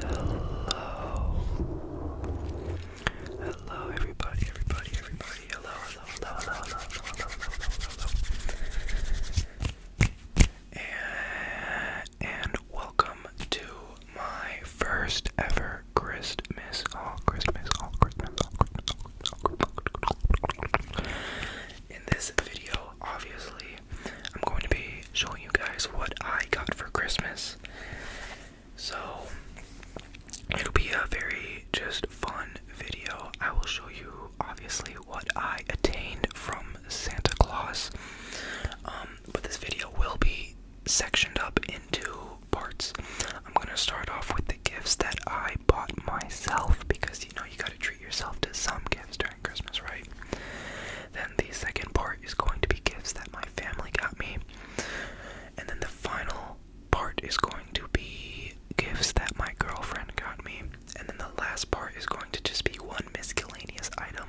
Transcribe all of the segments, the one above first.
Hello. Hello everybody, everybody, everybody. Hello, hello, hello, hello, hello, hello, hello, and, and welcome to my first ever Christmas haul. Christmas haul. Christmas haul. Christmas haul. In this video, obviously, I'm going to be showing you guys what I got for Christmas. So, it'll be a very just fun video. I will show you, obviously, what I attained from Santa Claus. Um, um, but this video will be sectioned up into parts. I'm gonna start off with the gifts that I bought myself because you know you gotta treat yourself to some gifts during Christmas, right? Then the second part is going to be gifts that my family got me. And then the final part is going to be gifts that my girlfriend got me. And then the last part is going to just be one miscellaneous item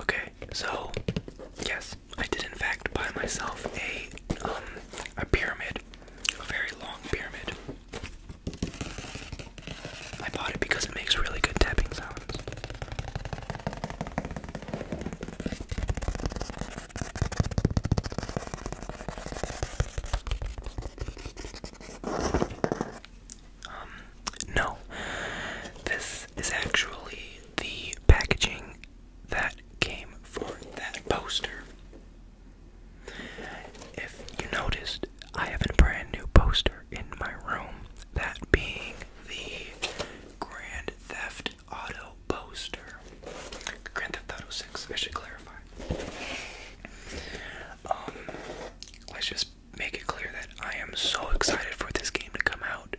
Okay. so yes, I did in fact buy myself a um a pyramid, a very long pyramid. I bought it because it makes really good tapping sounds. Um, no. This is actually the packaging that came for that poster. If you noticed, I have a brand new poster in my room, that being the Grand Theft auto poster. Grand Theft Auto 6, I should clarify. Um, let's just make it clear that I am so excited for this game to come out.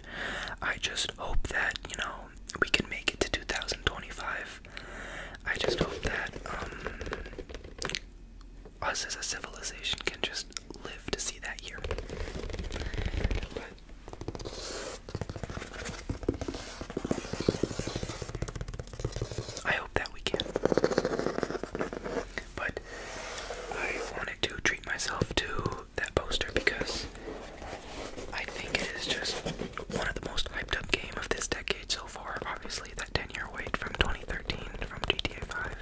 I just hope that, you know, we can make it to 2025. I just hope that, um, us as a civilization can just live to see that year. I hope that we can. But I wanted to treat myself to that poster because I think it is just one of the most hyped up game of this decade so far. Obviously, that 10 year wait from 2013 from GTA 5.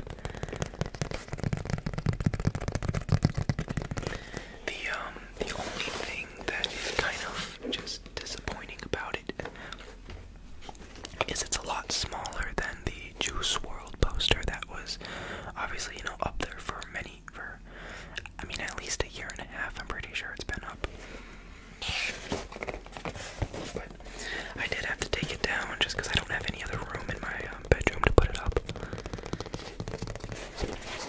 The um the only thing that is kind of just disappointing about it is it's a lot smaller than the Juice World poster that was obviously, you know, up there for many, for I mean, at least a year and a half. I'm pretty sure it's been up. But I did have to take it down just because I don't have any other room in my uh, bedroom to put it up.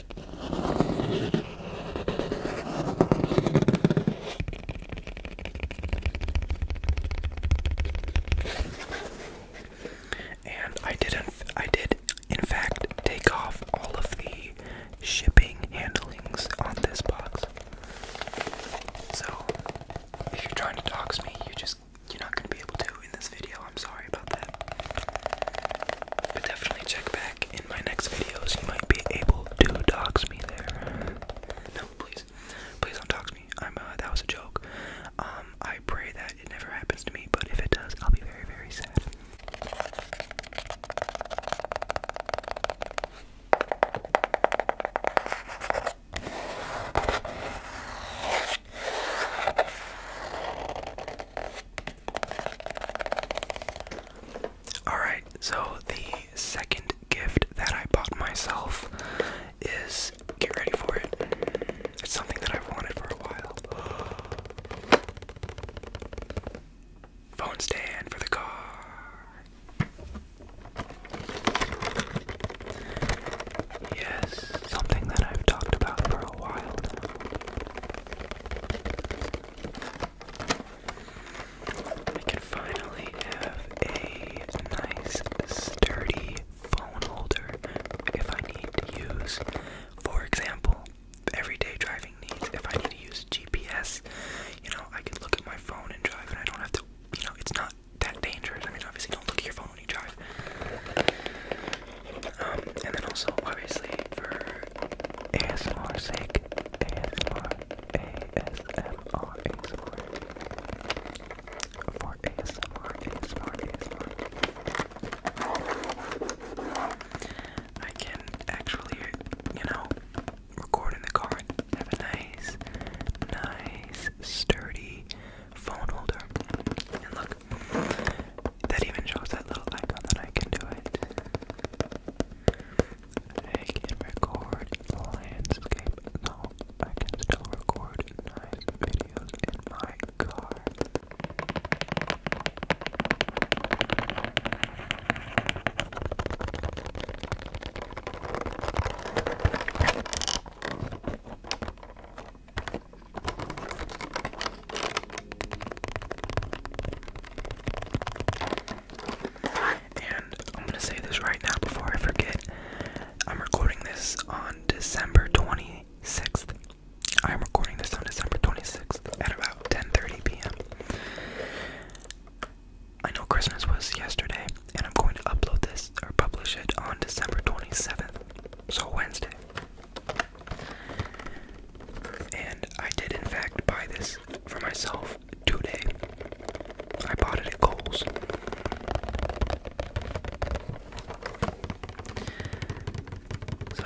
And I did, not I did, in fact, take off all of the shipping handlings on this box. So, if you're trying to dox me, you just you're not gonna be able to in this video. I'm sorry about that. But definitely check back in my next videos. You might be able to dox me there. No, please. Please don't dox me. I'm uh, that was a joke. Um, I pray that it never happens to me, but if it does, I'll be very, very sad. Alright, so the second gift that I bought myself is get ready for it. It's something that I've wanted for a while. Phone stand for the car. Yes, something that I've talked about for a while I can finally have a nice, sturdy phone holder if I need to use, for example, everyday driving needs. If I need to use GPS, you know, I can look at my phone and drive, and I don't have to, you know, it's not that dangerous. I mean, obviously, don't look at your phone when you drive. Um, and then also, obviously, for ASMR sake, ASMR, ASMR, ASMR, ASMR, ASMR, ASMR, I can actually, you know, record in the car have a nice, nice, sturdy phone holder. And look, that even shows that little icon that I can do it. I can record landscape. No, I can still record nice videos in my car. And I'm gonna say this right now before I forget. I'm recording this on December 26th. I'm recording this on December 26th at about 10:30 p.m. I know Christmas was yesterday, and I'm going to upload this or publish it on December 27th, so Wednesday. And I did, in fact, buy this for myself today. I bought it at Kohl's. So.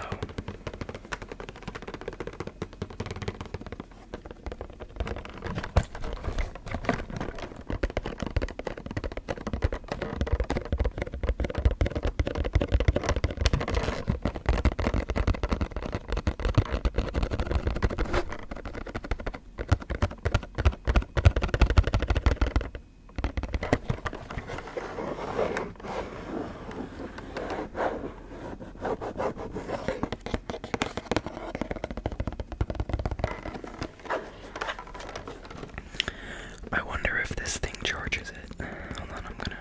I wonder if this thing charges it. Hold on, I'm gonna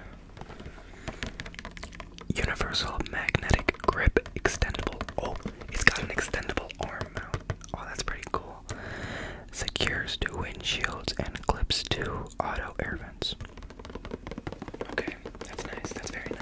Universal magnetic grip extendable. Oh, it's got an extendable arm mount. Oh, that's pretty cool. Secures to windshields and clips to auto air vents. Okay, that's nice. That's very nice.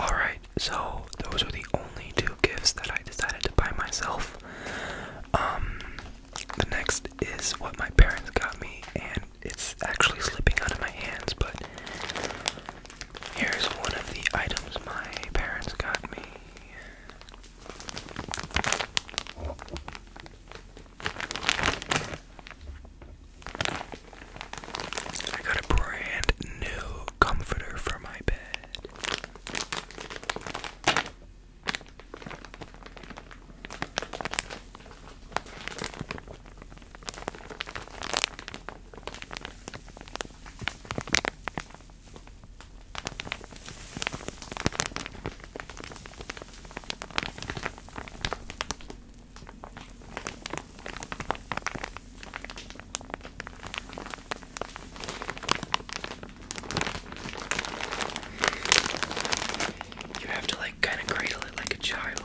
Alright, so those were the only two gifts that I decided to buy myself. Um, the next is what my parents got me, and it's actually slipping out of my hands, but here's one of the items my parents got me. I got a brand new comforter for my bed. You have to like kind of cradle it like a child.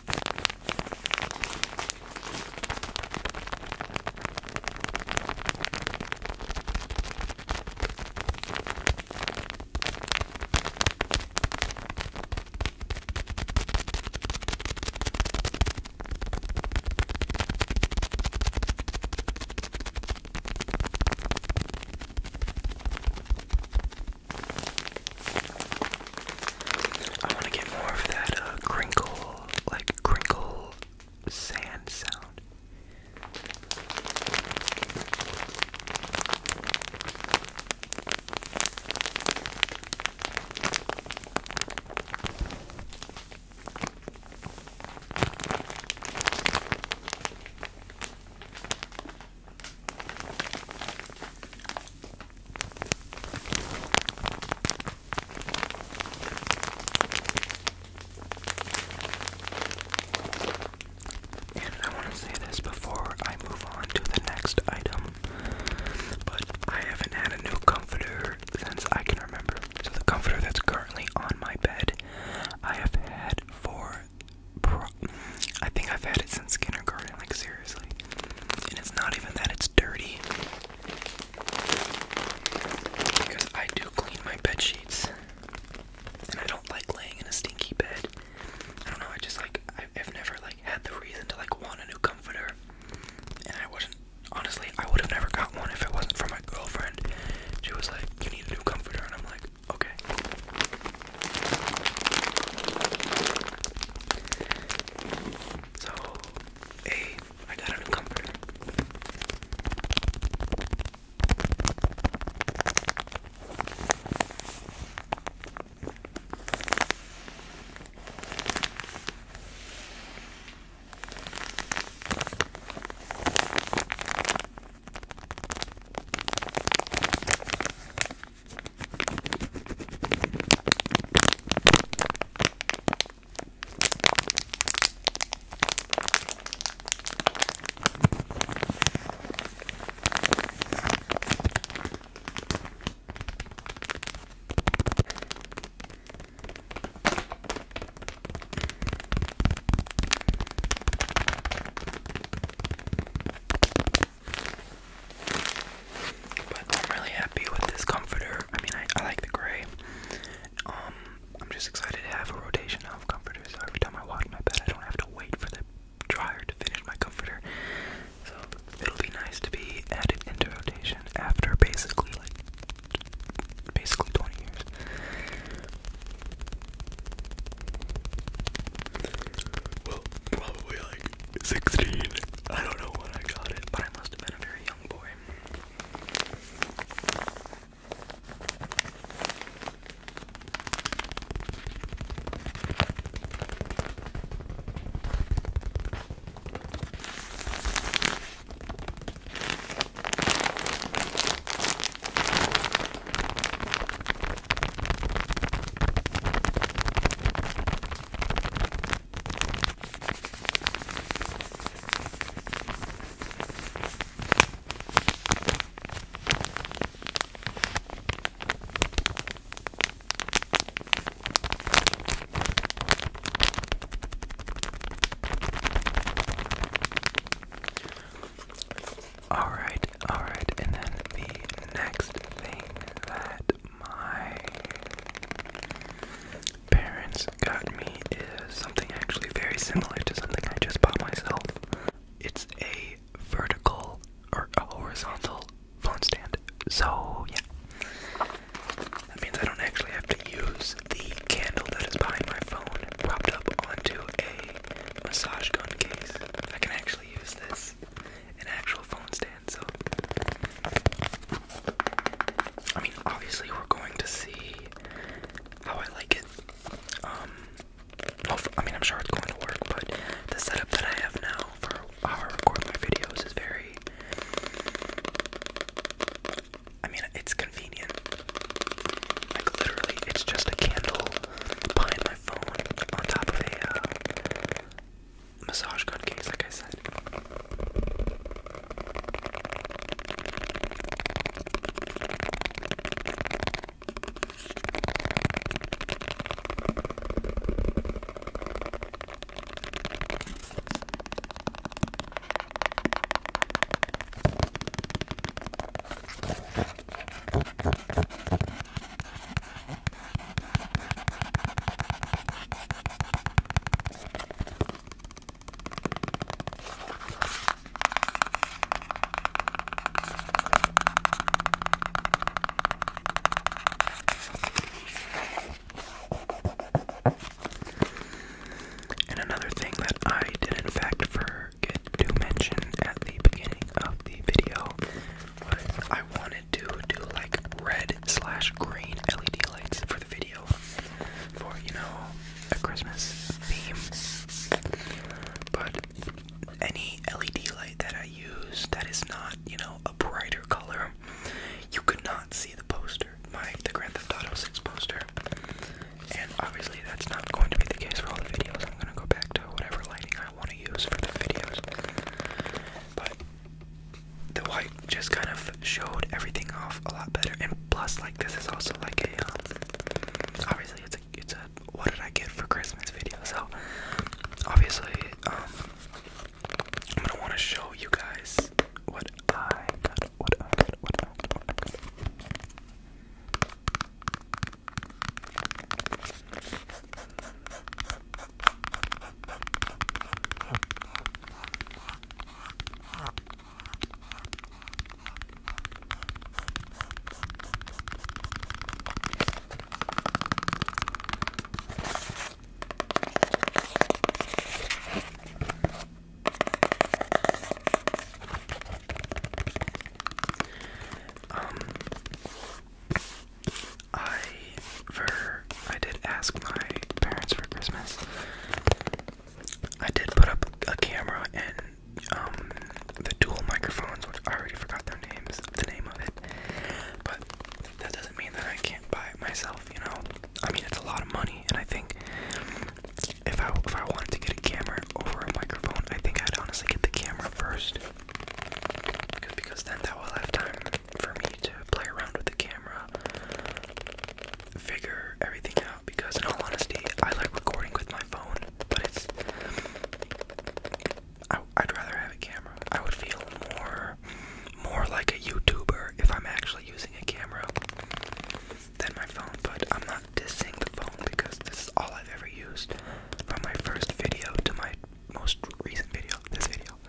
I want to get more of that uh, crinkle like crinkle sand sound. And I want to say this before I move on to the next item, but I haven't had a new comforter since I can remember. So the comforter that's currently on my bed, I have had for I think I've had it since kindergarten, like seriously. And it's not even that it's dirty. Because I do clean my bed sheets. And I don't like laying in a stinky bed. I don't know, I just like, I've never like had the reason to like want a new comforter. And I wasn't, honestly, I would have never got one if it wasn't for my girlfriend. She was like, you need a new comforter. And I'm like, okay. So, a I got a new comforter. But I'm really happy with this comforter. I mean, I, like the gray. Um, I'm just excited to have a rotation of comforters. So every time I wash my bed, I don't have to wait for the dryer to finish my comforter. So it'll be nice to be added into rotation after basically like basically 20 years. Well, probably like 16. I don't know when I got it, but I must have been a very young oh, boy. All right, all right, and then the next thing that my parents got me is something actually very similar to something I just bought myself. It's a vertical or a horizontal phone stand. So, yeah. That means I don't actually have to use the candle that is behind my phone propped up onto a massage gun case. I can actually use this, an actual phone stand so I mean, obviously, we're going to see how I like it. Um, well, I mean, I'm sure it's going to work, but the setup that I have now for how I my videos is very. I mean, it's convenient. Like, literally, it's just a candle behind my phone on top of the. Uh, massage gun kings, like I said. And another thing that I did, in fact, forget to mention at the beginning of the video was I wanted to do like red slash green LED lights for the video for, you know, a Christmas theme. But any LED light that I use that is not, you know, a brighter color, you could not see the poster, my the Grand Theft Auto 6 poster. And obviously that's not going to be the case for all the videos. I'm gonna go back to whatever lighting I want to use for the videos. But the white just kind of showed everything off a lot better. And plus, like this is also like a um, obviously it's a it's a what did I get for Christmas video. So obviously um, I'm gonna want to show you guys what I got. What I got. What I got. What I got. Um I for I did ask my parents for Christmas. I did put up a camera and um, the dual microphones, which I already forgot their names, the name of it. But that doesn't mean that I can't buy it myself, you know. I mean, it's a lot of money, and I think if I if I wanted to get a camera over a microphone, I think I'd honestly get the camera first, because then that will have time for me to play around with the camera, figure everything out. Because in all honesty, I like recording with my phone, but it's I, would rather have a camera. I would feel more more like a YouTuber if I'm actually using a camera than my phone. But I'm not dissing the phone because this is all I've ever used from my first video to my most recent video. This video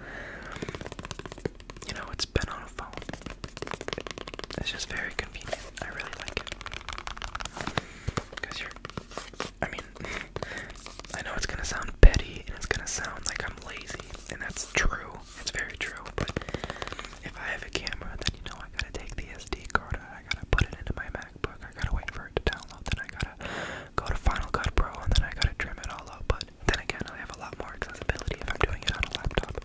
you know, it's been on a phone. It's just very convenient. I really like it. Because you're, I mean, I know it's gonna sound petty and it's gonna sound like I'm lazy, and that's true. It's very true. But if I have a camera, then you know I gotta take the SD card, I gotta put it into my MacBook, I gotta wait for it to download, then I gotta go to Final Cut Pro, and then I gotta trim it all out. But then again, I have a lot more accessibility if I'm doing it on a laptop.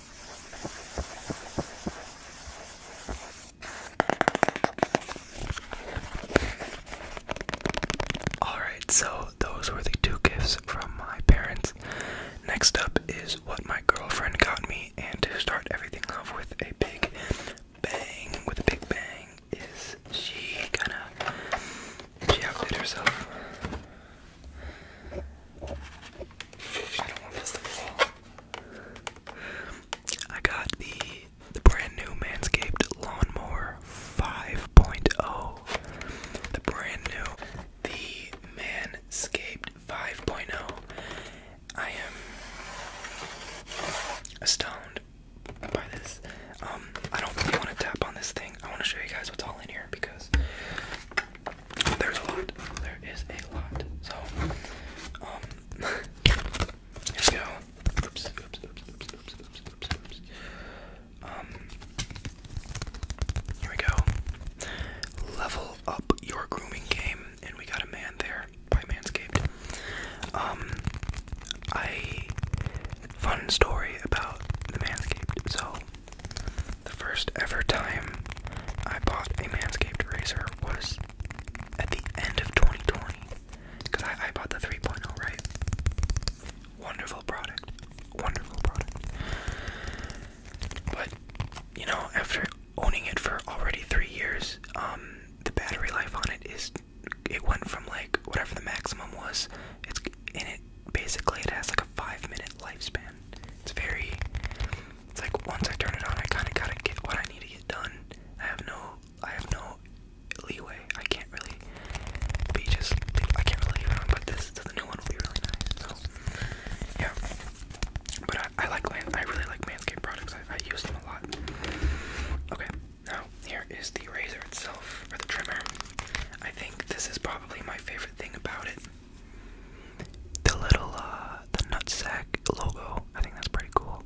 Alright, so those were the two gifts from my parents. Next up is what my girlfriend got me, and to start everything off with a big bang, with a big bang, is she kinda. She outdid herself. I don't want to miss I got the the brand new Manscaped Lawnmower 5.0. The brand new the Manscaped 5.0. I am astounded by this. Um, I don't really want to tap on this thing. I want to show you guys what's all in here because there's a lot. There is a lot. So, um, here we go. Oops, oops, oops, oops, oops, oops, oops, oops. Um, here we go. Level up your grooming game, and we got a man there by Manscaped. Um, I fun story about the Manscaped. So, the first ever time I bought a Manscaped razor was at the end of 2020. Because I, I bought the 3.0, right? Wonderful product. Wonderful product. But, you know, after owning it for already three years, um, the battery life on it is. It went from like whatever the maximum was, it's in it basically it has like a five minute lifespan. It's very it's like once I turn it on, I kind of gotta get what I need to get done. I have no, I have no leeway. I can't really be just, I can't really leave it on. But this, so the new one will be really nice. So yeah, but I, I like, I really like Manscaped products. I, I use them a lot. Okay, now here is the razor itself or the trimmer. I think this is probably my favorite thing about it. The little, uh, the nutsack logo. I think that's pretty cool.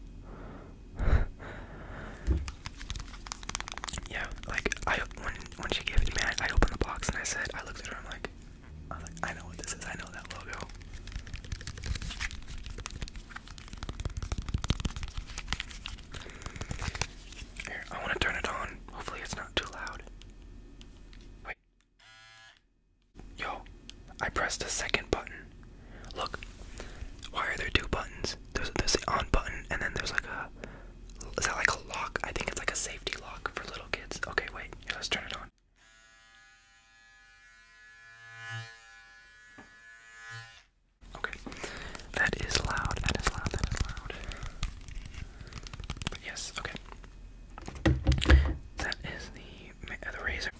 yeah, like, I, when, she gave it to me, I, opened the box and I said, I looked at her, I'm like, I know what this is, I know that logo. Here, I want to turn it on. Hopefully, it's not too loud. Wait, Yo, I pressed the second button. Look, why are there two buttons? There's the on button, and then there's like a is that like a lock? I think it's like a safety lock for little kids. Okay, wait, let's turn it on. Okay, that is loud. That is loud. That is loud. yes. Okay. That is the, uh, the razor.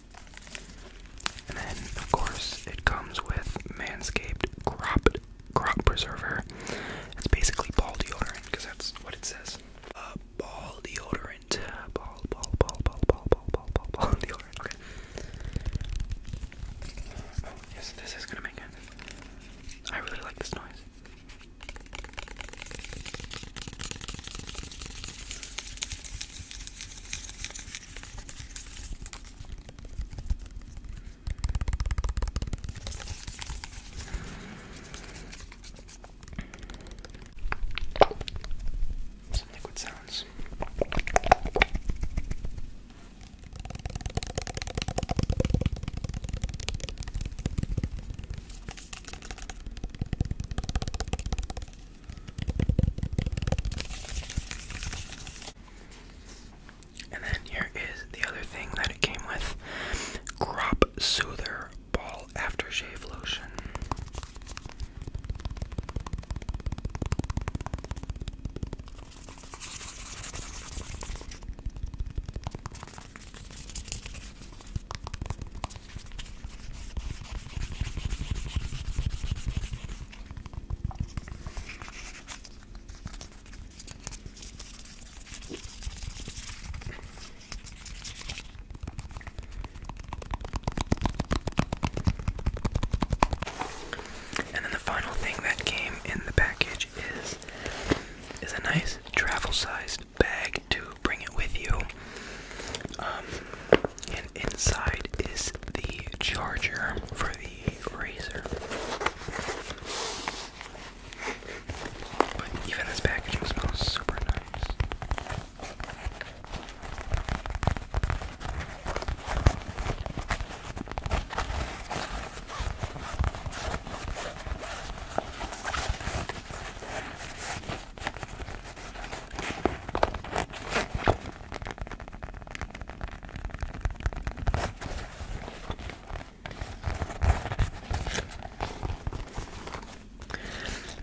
And then, of course, it comes with Manscaped Crop, crop Preserver. It's basically ball deodorant, because that's what it says. Uh, ball deodorant. Ball, ball, ball, ball, ball, ball, ball, ball, ball deodorant. Okay. Oh, yes, this is gonna make it. I really like this noise. Some liquid sounds. And then here is the other thing that it came with Crop Soother Ball Aftershave Lotion. And then the final thing that came in the package is is a nice travel-sized bag to bring it with you. Um, and inside is the charger for the razor. But even this packaging smells super nice.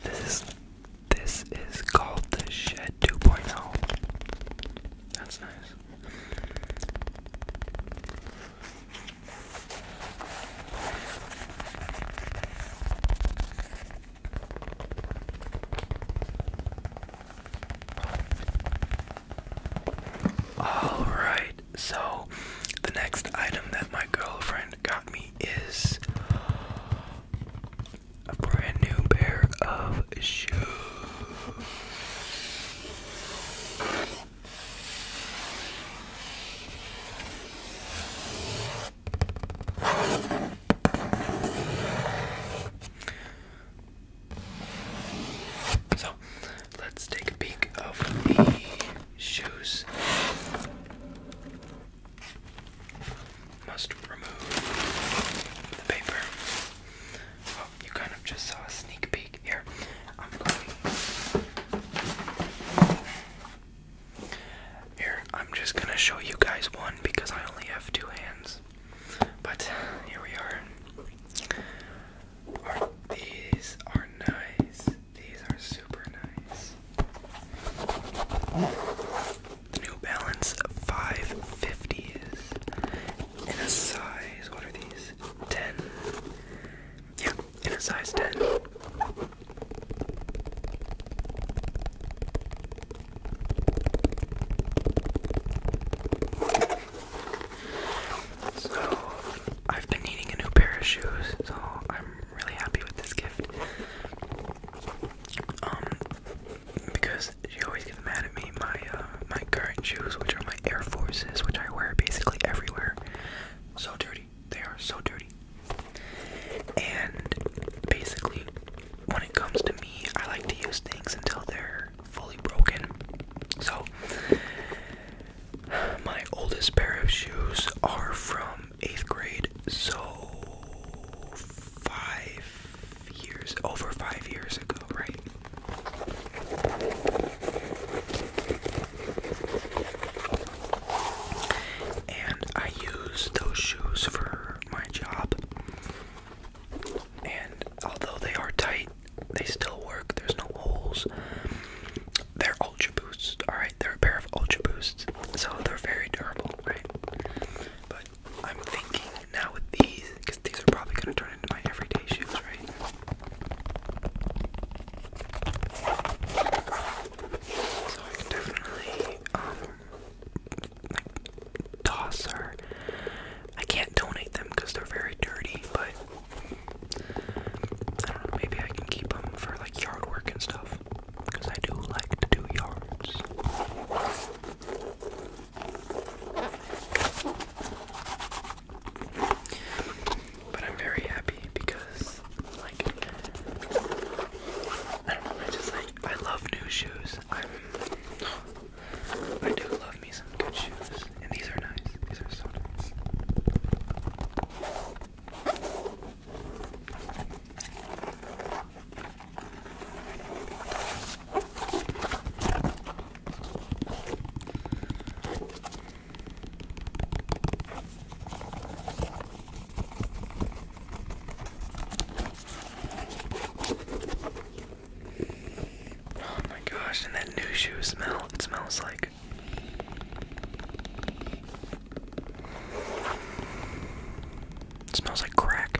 This is this is called the Shed 2.0. That's nice. All right. So, the next item that my girlfriend got me is a brand new pair of shoes. So let's take a peek of the shoes. Must remove the paper. Well, oh, you kind of just saw a sneak peek here. Here, I'm just gonna show you guys one because I only have two hands. But here we are. these are nice. These are super nice. New Balance 550s in a size. What are these? 10. Yeah, in a size 10. So, I've been needing a new pair of shoes, so I'm really happy with this gift. Um, because she always gets mad at me, my uh, my current shoes, which are my Air Forces, which I wear basically everywhere. So to they are so dirty. And basically, when it comes to me, I like to use things until they're fully broken. So, my oldest pair of shoes are from eighth grade, so five years, over five years ago, right? And I use those shoes for my job. And although they are tight, they still work. There's no holes. They're Ultra Boosts, alright? They're a pair of Ultra Boosts, so they're very durable, right? But I'm thinking now with these, because these are probably going to turn into my everyday shoes, right? So I can definitely, um, like, toss her. I can't donate them because they're very dirty, but I do maybe I can keep them for like yard work and stuff. Because I do like to do yards. But I'm very happy because like, I just like, I love new shoes. I'm, I do love me some good shoes. And these are nice. These are so nice. Oh my gosh, and that new shoe smell, it smells like. smells like crack.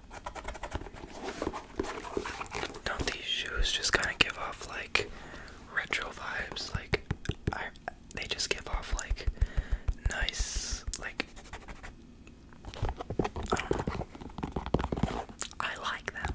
Don't these shoes just kind of give off like retro vibes? Like, they just give off like nice, like I like them.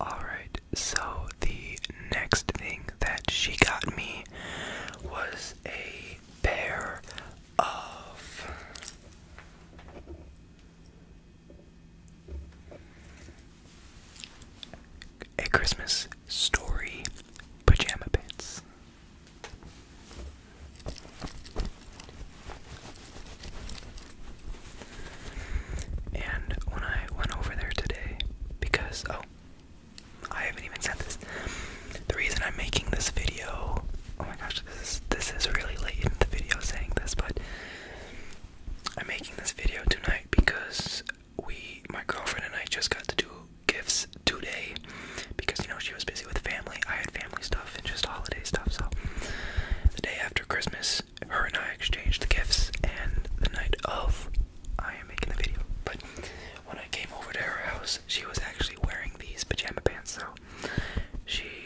Alright, so the next thing that she got me was a pair of a Christmas Story Pajama Pants. And when I went over there today, because, oh, I haven't even said this. The reason I'm making this video Oh my gosh, this is this is really late in the video saying this, but I'm making this video tonight because we my girlfriend and I just got to do gifts today because you know she was busy with family. I had family stuff and just holiday stuff, so the day after Christmas, her and I exchanged gifts and the night of I am making the video. But when I came over to her house, she was actually wearing these pajama pants, so she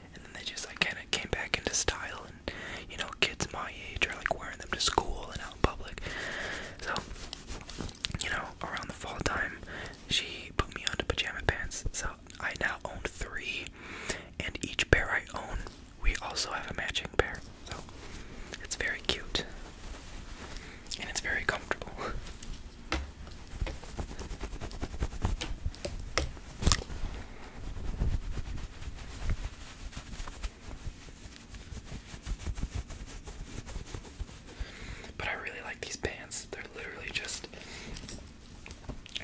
and then they just like kind of came back into style. And you know, kids my age are like wearing them to school and out in public. So, you know, around the fall time, she put me onto pajama pants. So I now own three, and each pair I own, we also have a matching pair. So it's very cute, and it's very comfortable. But I really like these pants. They're literally just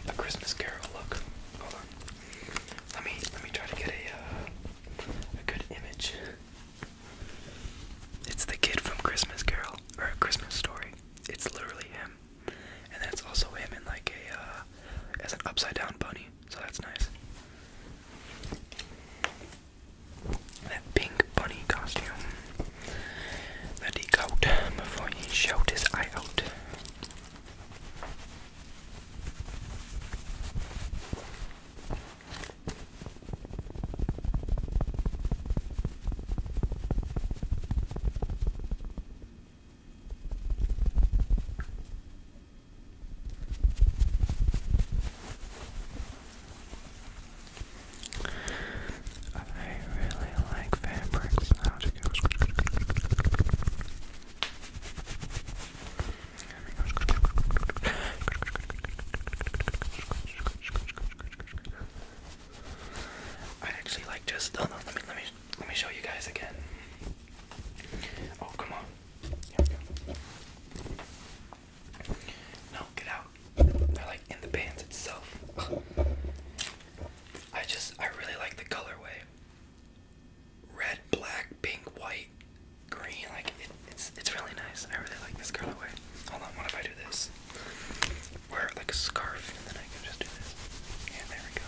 a Christmas Carol look. Hold on. Let me let me try to get a uh, a good image. It's the kid from Christmas Carol or a Christmas Story. It's literally him, and that's also him in like a uh, as an upside down bunny so that's nice. That pink bunny costume that he before he shot his eye out. I really like fabrics I actually like just. let me let me let me show you guys again. Oh, come on. No, get out. They're like in the bands itself. I just, I really like the colorway. Red, black, pink, white, green. Like it's, it's really nice. I really like this colorway. Hold on, what if I do this? Wear like a scarf, and then I can just do this. Yeah, there we go.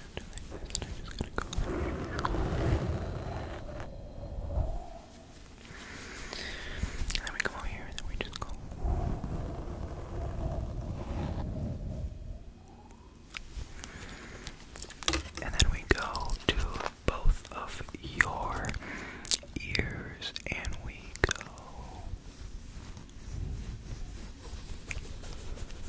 and I'm just gonna we go here, and we just go and then we go to both of your ears, and we go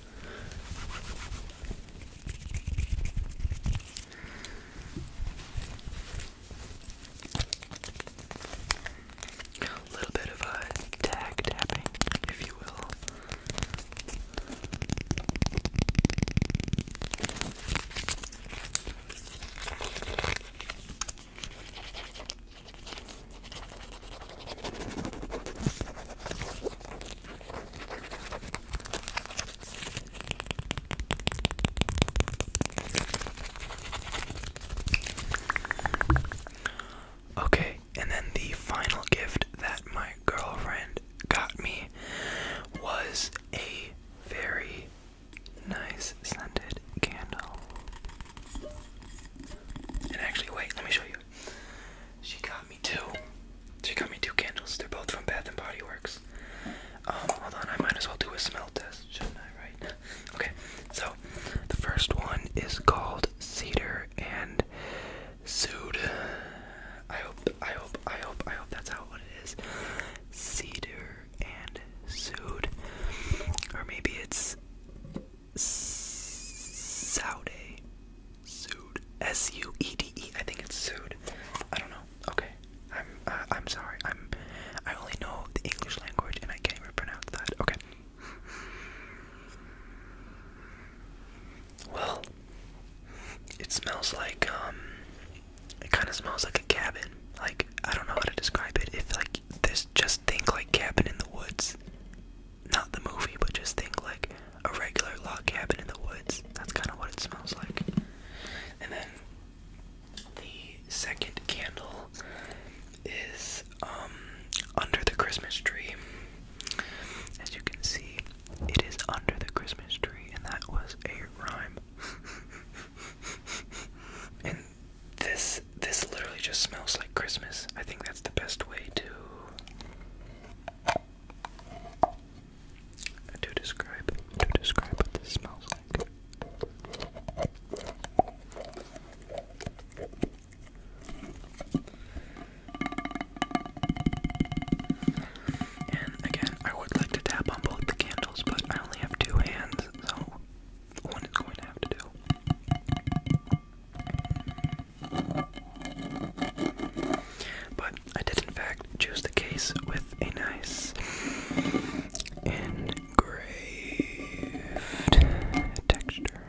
A little bit of a tag tapping, if you will. Okay, and then the final gift that my girlfriend got me was a very nice scented candle. And actually, wait, let me show you. She got me two. She got me two candles. They're both from Bath and Body Works. Um, hold on, I might as well do a smell test, shouldn't I? Right? Okay. So, the first one is called Cedar and Sood. I hope, I hope, I hope, I hope that's how it is. Cedar and Sood, or maybe it's Saude. Sued. S U E D E. I think it's sued. I don't know. Okay. I'm. Uh, I'm sorry. I'm. I only know the English language and I can't even pronounce that. Okay. Well, it smells like um. It kind of smells like a cabin. Like I don't know how to describe it. If like this, just think like cabin in the woods. Not the movie, but just think like a regular log cabin in the woods. That's kind of what it smells like. And then the second candle is um, under the Christmas tree. As you can see, it is under the Christmas tree, and that was a rhyme. and this this literally just smells like Christmas. I think that's the best way to to describe, to describe what this smells like. And again, I would like to tap on both the candles, but I only have two hands, so one is going to have to do. But I did, in fact, choose the case with a nice engraved texture.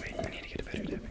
Wait, I need to get a better tapping.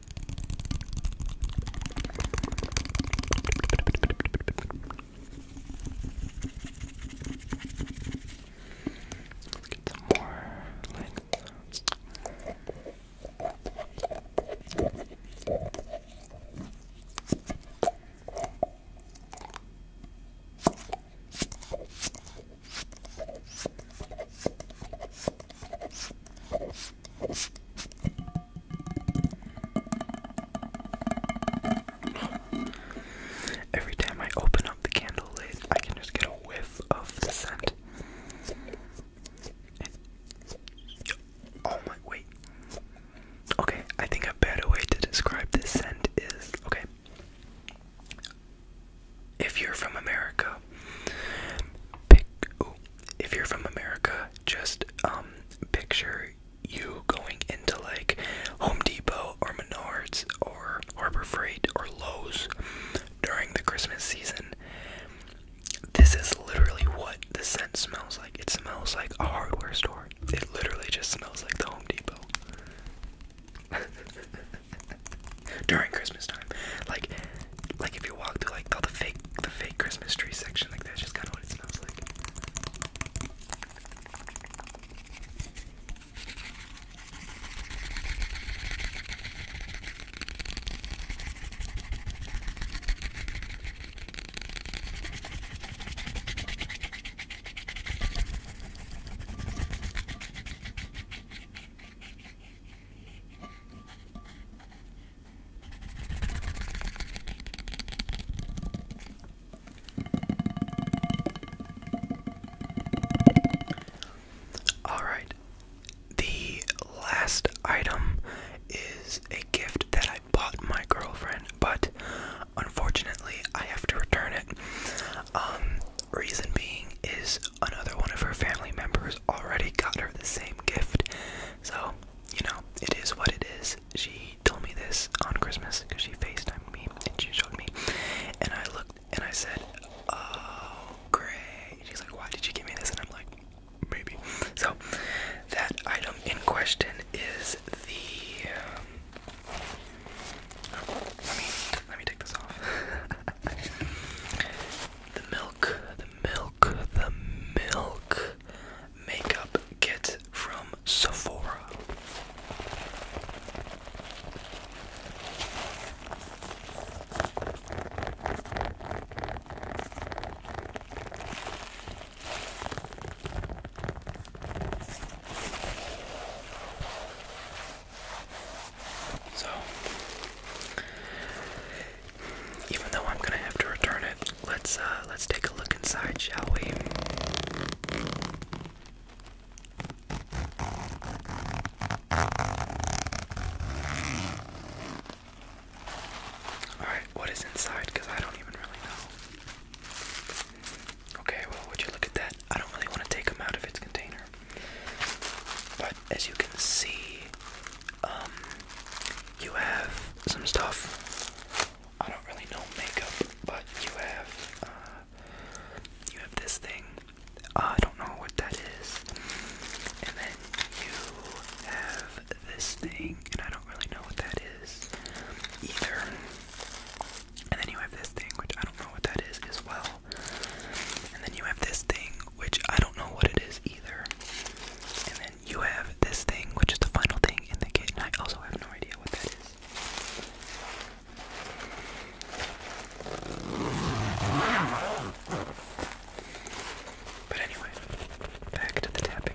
Let's get some more legs. Every time I open up the candle lid, I can just get a whiff of the scent. Oh my, wait. Okay, I think a better way to describe this scent is okay. If you're from America, pick. if you're from America just um, picture you going into like Home Depot or Menards or Harbor Freight or Lowe's during the Christmas season. This is literally what the scent smells like. It smells like a hardware store. It literally just smells like the Home Depot. during Christmas time. Like like if you walk through like all the fake the fake Christmas tree section, like that's just kind of what it smells like. All right. The last item is a gift that I bought my girlfriend, but unfortunately, I have to return it. Um, reason being is another one of her family members already got her the same gift so, you know, it is what it is. She told me this on Christmas because she FaceTimed me and she showed me. And I looked and I said, Oh, great. She's like, Why did you give me this? And I'm like, Maybe. So, that item in question is the. Um, let me take this off. The milk, the milk, the milk makeup kit from Sephora. So, even though I'm gonna have to return it, let's uh, let's take a look inside, shall we? Alright, what is inside? Because I don't even really know. Okay, well, would you look at that? I don't really want to take them out of its container. But as you can see, um, you have some stuff. I don't really know makeup, but you have uh, you have this thing. I don't know what that is. And then you have this thing, and I don't really know what that is either. And then you have this thing, which I don't know what that is as well. And then you have this thing, which I don't know what it is either you have this thing, which is the final thing in the kit, I also have no idea what that is. But anyway, back to the tapping.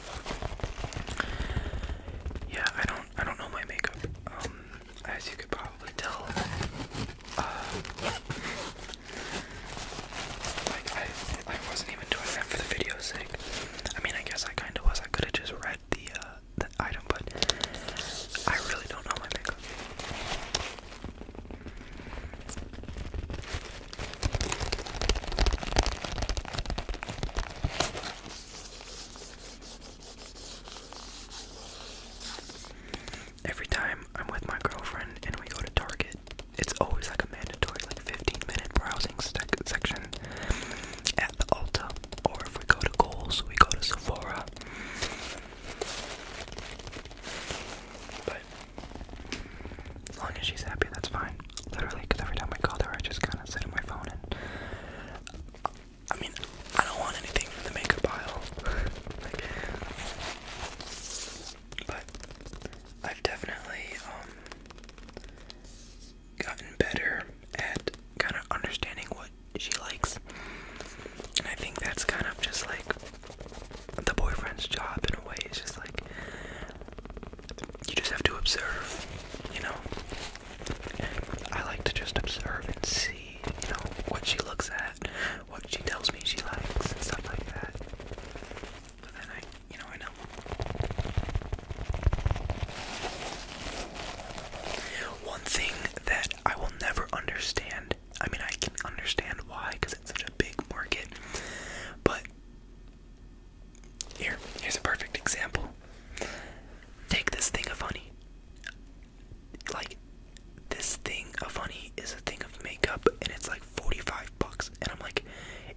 Yeah, I don't I don't know my makeup. Um as you could probably tell. Uh, like I I wasn't even doing that for the video's sake. I mean I guess I kinda was. I could have just read the uh, the item, but I really don't know my makeup. Every time I'm with my girlfriend and we go to Target, it's always like a mandatory, like 15 minute browsing section at the Ulta. Or if we go to Kohl's, we go to Sephora. But as long as she's happy, that's fine. Literally, because every time I call her, I just kind of sit on my phone and. I mean, I don't want anything from the makeup pile. but I've definitely um, gotten better at kind of understanding what she likes. And I think that's kind of just like the boyfriend's job in a way. It's just like you just have to observe, you know. I like to just observe and see, you know, what she looks at, what she tells me she likes, and stuff like that. But then I, you know, I know. One thing that I will never understand, I mean, I can understand why, because it's such a big market, but here, here's a perfect example. Take this thing of honey. Like, this thing of honey is a thing of makeup, and it's like 45 bucks. And I'm like,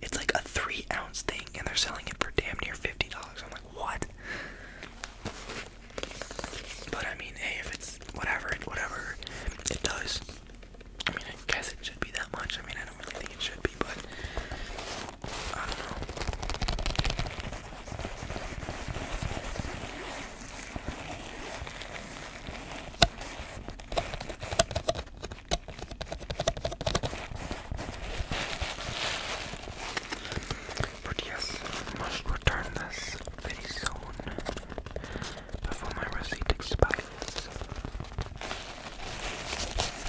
it's like a three ounce thing, and they're selling it for damn near $50. I'm like, what? But I mean, hey, if it's whatever, whatever it does, I mean, I guess it should be that much. I mean, I don't really think it should be, but I don't know. But yes, must return this very soon before my receipt expires.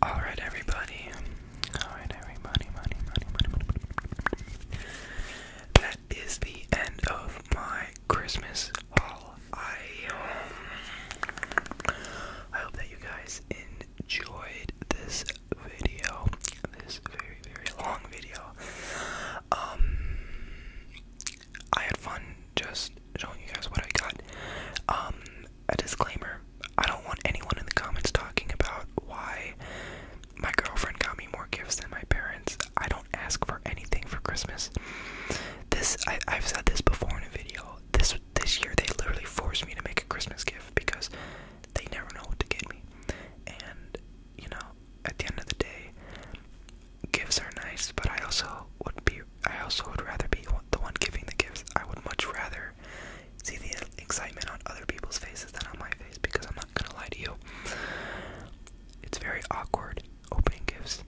All right, everybody. All right, everybody. Money, money, money, money. That is the end of my Christmas haul. I I hope that you guys enjoyed this video, this very very long video. Um, I had fun just showing you guys what I got. Um, a disclaimer: I don't want anyone in the comments talking about why my girlfriend got me more gifts than my parents. I don't ask for anything for Christmas. This I, I've said this before in a video. This this year they literally forced me to make a Christmas gift because they never know what to get me. And you know, at the end of the day, gifts are nice, but I also would be I also would rather be the one giving the gifts. I would much rather see the excitement on other people's faces than on my face because I'm not gonna lie to you. It's very awkward opening gifts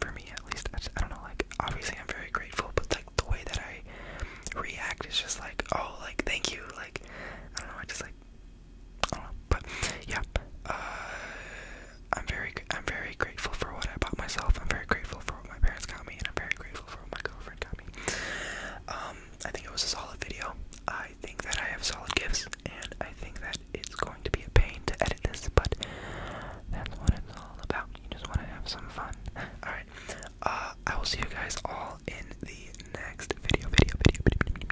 for me at least. I, don't know, like obviously I'm very grateful, but like the way that I react is just like, oh, like thank you, like I don't know, I just like I don't know, but yeah, uh, I'm very I'm very grateful for what I bought myself. I'm very grateful for what my parents got me, and I'm very grateful for what my girlfriend got me. Um, I think it was a solid video. I think that I have solid gifts, and I think that that it's going to be a pain to edit this, but that's what it's all about. You just want to have some fun. Alright, uh, I will see you guys all in the next video, video, video, video, video.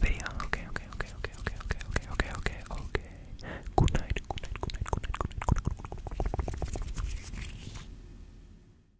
Video, okay, okay, okay, okay, okay, okay, okay, okay, okay, okay. Good night, good night, good night, good night, good night, good night, good night.